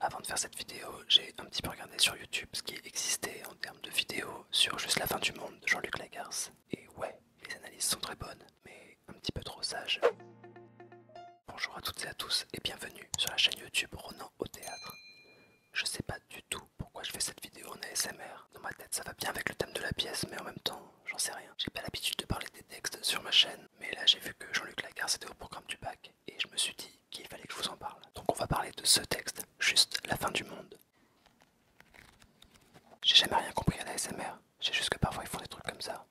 Avant de faire cette vidéo, j'ai un petit peu regardé sur YouTube ce qui existait en termes de vidéos sur Juste la fin du monde de Jean-Luc Lagarce. Et ouais, les analyses sont très bonnes, mais un petit peu trop sages. Bonjour à toutes et à tous et bienvenue sur la chaîne YouTube Ronan au théâtre. Je sais pas du tout pourquoi je fais cette vidéo en ASMR. Dans ma tête, ça va bien avec le thème de la pièce, mais en même temps, j'en sais rien. J'ai pas l'habitude de parler des textes sur ma chaîne, mais là j'ai vu que Jean-Luc Lagarce était au programme du bac et je me suis dit qu'il fallait que je vous en parle. Donc on va parler de ce texte, juste la fin du monde. J'ai jamais rien compris à la SMR, j'ai juste que parfois ils font des trucs comme ça.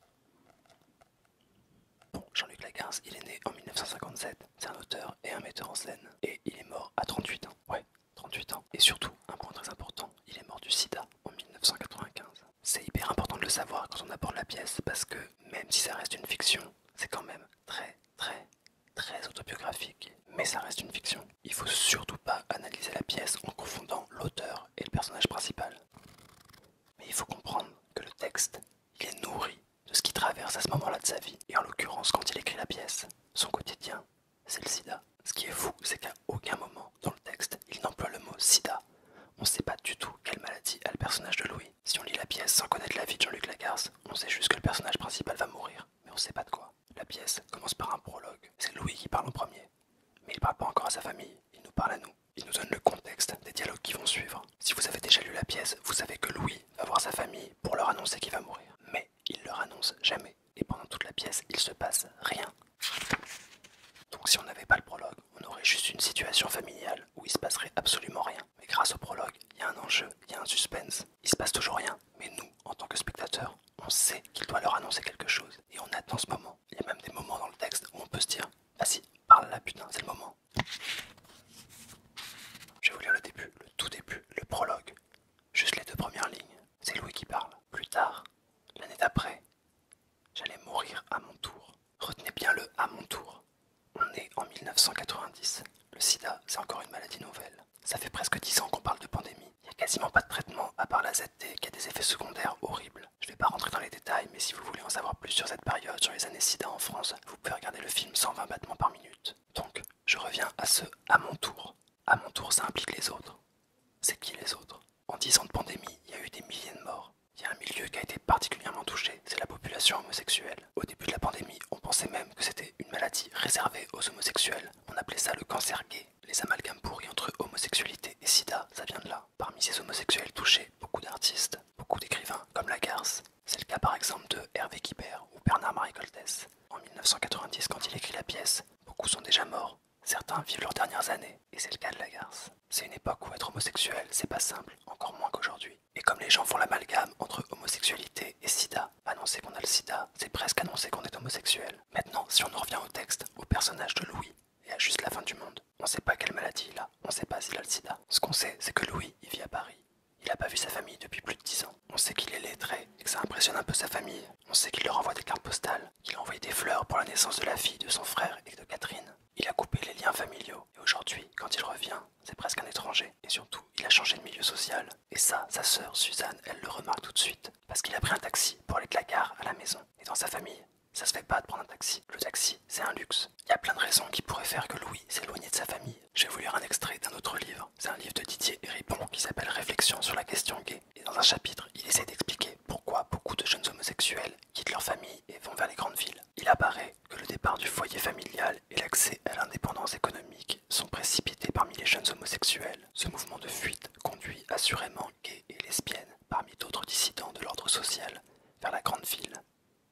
Bon, Jean-Luc Lagarce, il est né en 1957, c'est un auteur et un metteur en scène, et il est mort à 38 ans. Ouais, 38 ans. Et surtout, un point très important, il est mort du sida en 1995. C'est hyper important de le savoir quand on aborde la pièce, parce que même si ça reste une fiction, c'est quand même très, très, très autobiographique, mais ça reste une fiction. Il faut surtout pas analyser la pièce en confondant l'auteur et le personnage principal. Mais il faut comprendre que le texte, il est nourri de ce qui traverse à ce moment-là de sa vie, et en l'occurrence quand il écrit la pièce, son quotidien, c'est le sida. Ce qui est fou, c'est qu'à aucun moment dans le texte, il n'emploie le mot sida. On ne sait pas du tout quelle maladie a le personnage de Louis. Si on lit la pièce sans connaître la vie de Jean-Luc Lagarce, on sait juste que le personnage principal va mourir, mais on sait pas de quoi. La pièce commence par un prologue. C'est Louis qui parle en premier. Mais il parle pas encore à sa famille, il nous parle à nous. Il nous donne le contexte des dialogues qui vont suivre. Si vous avez déjà lu la pièce, vous savez que Louis va voir sa famille pour leur annoncer qu'il va mourir. Mais il leur annonce jamais. Et pendant toute la pièce, il se passe rien. Donc si on n'avait pas le prologue, on aurait juste une situation familiale où il se passerait absolument rien. Mais grâce au prologue, il y a un enjeu, il y a un suspense. Il se passe toujours rien. Mais nous, en tant que spectateurs, on sait qu'il doit leur annoncer quelque chose. Et on attend ce moment. Il y a même des moments dans le texte où on peut se dire Vas-y, ah parle là, putain, c'est le moment. Je vais vous lire le début, le tout début, le prologue. Juste les deux premières lignes. C'est Louis qui parle. Plus tard, l'année d'après, j'allais mourir à mon tour. Retenez bien le à mon tour. On est en 1990. Le sida, c'est encore une maladie nouvelle. Ça fait presque 10 ans qu'on parle de pandémie. Il n'y a quasiment pas de traitement à part la ZT qui a des effets secondaires horribles. Je ne vais pas rentrer dans les détails, mais si vous voulez en savoir plus sur cette période, sur les années sida en France, vous pouvez regarder le film 120 battements par minute. Donc, je reviens à ce à mon tour. À mon tour, ça implique les autres. C'est qui les autres En 10 ans de pandémie, il y a eu des milliers de morts. Il y a un milieu qui a été particulièrement touché, c'est la population homosexuelle. Au début de la pandémie, on pensait même que c'était une maladie réservée aux homosexuels. On appelait ça le cancer gay. Les amalgames pourris entre homosexualité et sida, ça vient de là. Parmi ces homosexuels touchés, beaucoup d'artistes, beaucoup d'écrivains, comme Lagarce. C'est le cas par exemple de Hervé Kibert ou Bernard-Marie Coltès. En 1990, quand il écrit la pièce, beaucoup sont déjà morts. Certains vivent leurs dernières années, et c'est le cas de Lagarce. C'est une époque où être homosexuel, c'est pas simple, encore moins qu'aujourd'hui. Et comme les gens font l'amalgame entre homosexualité et sida, annoncer qu'on a le sida, c'est presque annoncer qu'on est homosexuel. Maintenant, si on en revient au texte, au personnage de Louis, et à juste la fin du monde, on sait pas quelle maladie il a, on sait pas s'il a le sida. Ce qu'on sait, c'est que Louis, il vit à Paris. Il a pas vu sa famille depuis plus de 10 ans. On sait qu'il est lettré et que ça impressionne un peu sa famille. On sait qu'il leur envoie des cartes postales, qu'il a envoyé des fleurs pour la naissance de la fille de son frère et de Catherine. Il a coupé les liens familiaux et aujourd'hui, quand il revient, c'est presque un étranger. Et surtout, il a changé de milieu social. Et ça, sa sœur Suzanne, elle le remarque tout de suite parce qu'il a pris un taxi pour aller de la gare à la maison. Et dans sa famille, ça se fait pas de prendre un taxi. Le taxi, c'est un luxe. Il y a plein de raisons qui pourraient faire que Louis s'éloigne de sa famille. Je vais vous lire un extrait d'un autre livre. C'est un livre de Didier Ripon qui s'appelle Réflexion sur la question gay. Et dans un chapitre, il essaie d'expliquer pourquoi beaucoup de jeunes homosexuels quittent leur famille et vont vers les grandes villes il apparaît que le départ du foyer familial et l'accès à l'indépendance économique sont précipités parmi les jeunes homosexuels. Ce mouvement de fuite conduit assurément gays et lesbiennes, parmi d'autres dissidents de l'ordre social, vers la grande ville.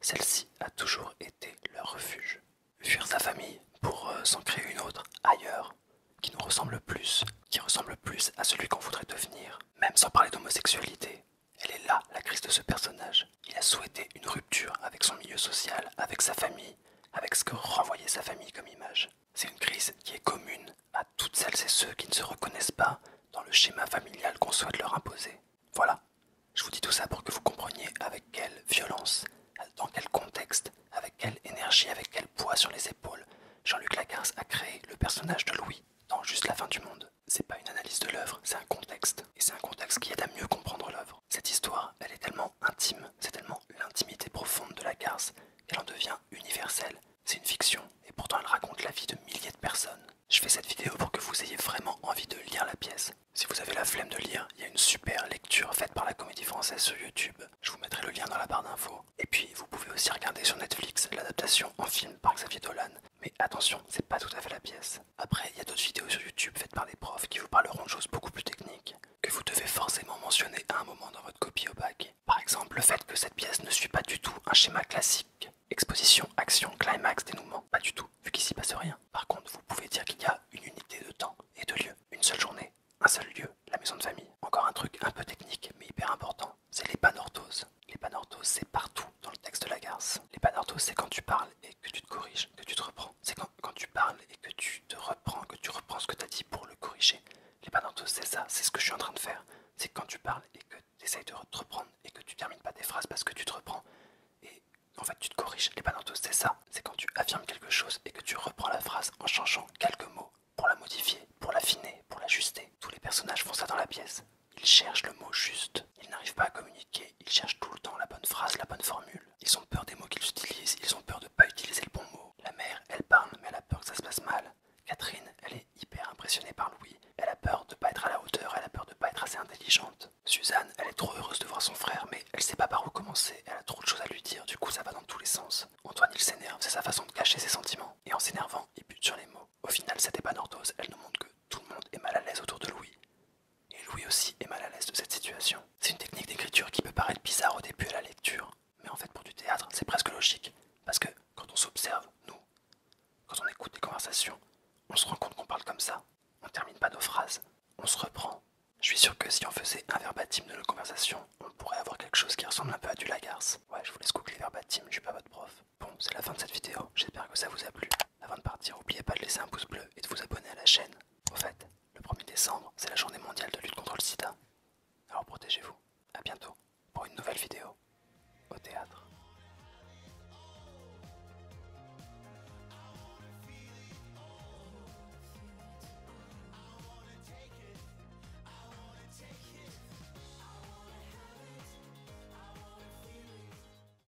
Celle-ci a toujours été leur refuge. Fuir sa famille pour euh, s'en créer une autre ailleurs, qui nous ressemble plus, qui ressemble plus à celui qu'on voudrait devenir, même sans parler d'homosexualité. Elle est là, la crise de ce personnage. Il a souhaité une rupture avec son milieu social, avec sa famille, avec ce que renvoyait sa famille comme image. C'est une crise qui est commune à toutes celles et ceux qui ne se reconnaissent pas dans le schéma familial qu'on souhaite leur imposer. Voilà, je vous dis tout ça pour que vous compreniez avec quelle violence, dans quel contexte, avec quelle énergie, avec quel poids sur les épaules Jean-Luc Lacarce a créé le personnage de Louis dans Juste la fin du monde. C'est pas une analyse de l'œuvre, c'est un contexte. Et c'est un contexte qui aide à mieux comprendre l'œuvre. Cette histoire, elle est tellement intime, c'est tellement l'intimité profonde de la garce, qu'elle en devient universelle. C'est une fiction, et pourtant elle raconte la vie de milliers de personnes. Je fais cette vidéo pour que vous ayez vraiment envie de lire la pièce. Si vous avez la flemme de lire, il y a une super lecture faite par la Comédie Française sur YouTube. Je vous mettrai le lien dans la barre d'infos. Et puis, vous pouvez aussi regarder sur Netflix l'adaptation en film par Xavier Dolan mais attention, c'est pas tout à fait la pièce. Après, il y a d'autres vidéos sur YouTube faites par des profs qui vous parleront de choses beaucoup plus techniques que vous devez forcément mentionner à un moment dans votre copie au bac. Par exemple, le fait que cette pièce ne suit pas du tout un schéma classique. Exposition, action, climax, dénouement. Pas du tout, vu qu'il s'y passe rien. Par contre, vous pouvez dire qu'il y a une unité de temps et de lieu. Une seule journée, un seul lieu, la maison de famille. Encore un truc un peu technique mais hyper important, c'est les panorthoses. Les panorthoses, c'est partout dans le texte de la garce. Les c'est quand tu parles et que tu te corriges, que tu te reprends. C'est quand, tu parles et que tu te reprends, que tu reprends ce que tu as dit pour le corriger. Les c'est ça, c'est ce que je suis en train de faire. C'est quand tu parles et que tu essayes de te reprendre et que tu termines pas tes phrases parce que tu te reprends. Et en fait, tu te corriges. Les c'est ça. C'est quand tu affirmes quelque chose et que tu reprends la phrase en changeant quelques mots pour la modifier, pour l'affiner, pour l'ajuster. Tous les personnages font ça dans la pièce. Ils cherchent le mot juste. Ils n'arrivent pas à communiquer. Ils cherchent tout le temps la bonne phrase, la bonne formule. Ils ont peur des mots qu'ils utilisent. Ils ont peur de ne pas utiliser le bon mot. La mère, elle parle, mais elle a peur que ça se passe mal. Catherine, elle est hyper impressionnée par Louis. Elle a peur de ne pas être à la hauteur. Elle a peur de ne pas être assez intelligente. Suzanne, elle est trop heureuse de voir son frère, mais elle sait pas par où commencer. Elle a trop de choses à lui dire. Du coup, ça va dans tous les sens. Antoine, il s'énerve. C'est sa façon de cacher ses sentiments. Et en s'énervant, il bute sur les mots. Au final, pas épanordose, elle nous montre que tout le monde est mal à l'aise autour de Louis. Et lui aussi est mal à l'aise de cette situation. C'est une technique d'écriture qui peut paraître bizarre au début à la lecture, mais en fait pour du théâtre c'est presque logique, parce que quand on s'observe, nous, quand on écoute des conversations, on se rend compte qu'on parle comme ça, on termine pas nos phrases, on se reprend. Je suis sûr que si on faisait un verbatim de nos conversations, on pourrait avoir quelque chose qui ressemble un peu à du lagarce. Ouais, je vous laisse couper les je suis pas votre prof. Bon, c'est la fin de cette vidéo, j'espère que ça vous a plu. Avant de partir, n'oubliez pas de laisser un pouce bleu et de vous abonner à la chaîne. Au fait, le 1er décembre, c'est la journée mondiale de lutte contre le sida. Alors protégez-vous. À bientôt pour une nouvelle vidéo au théâtre.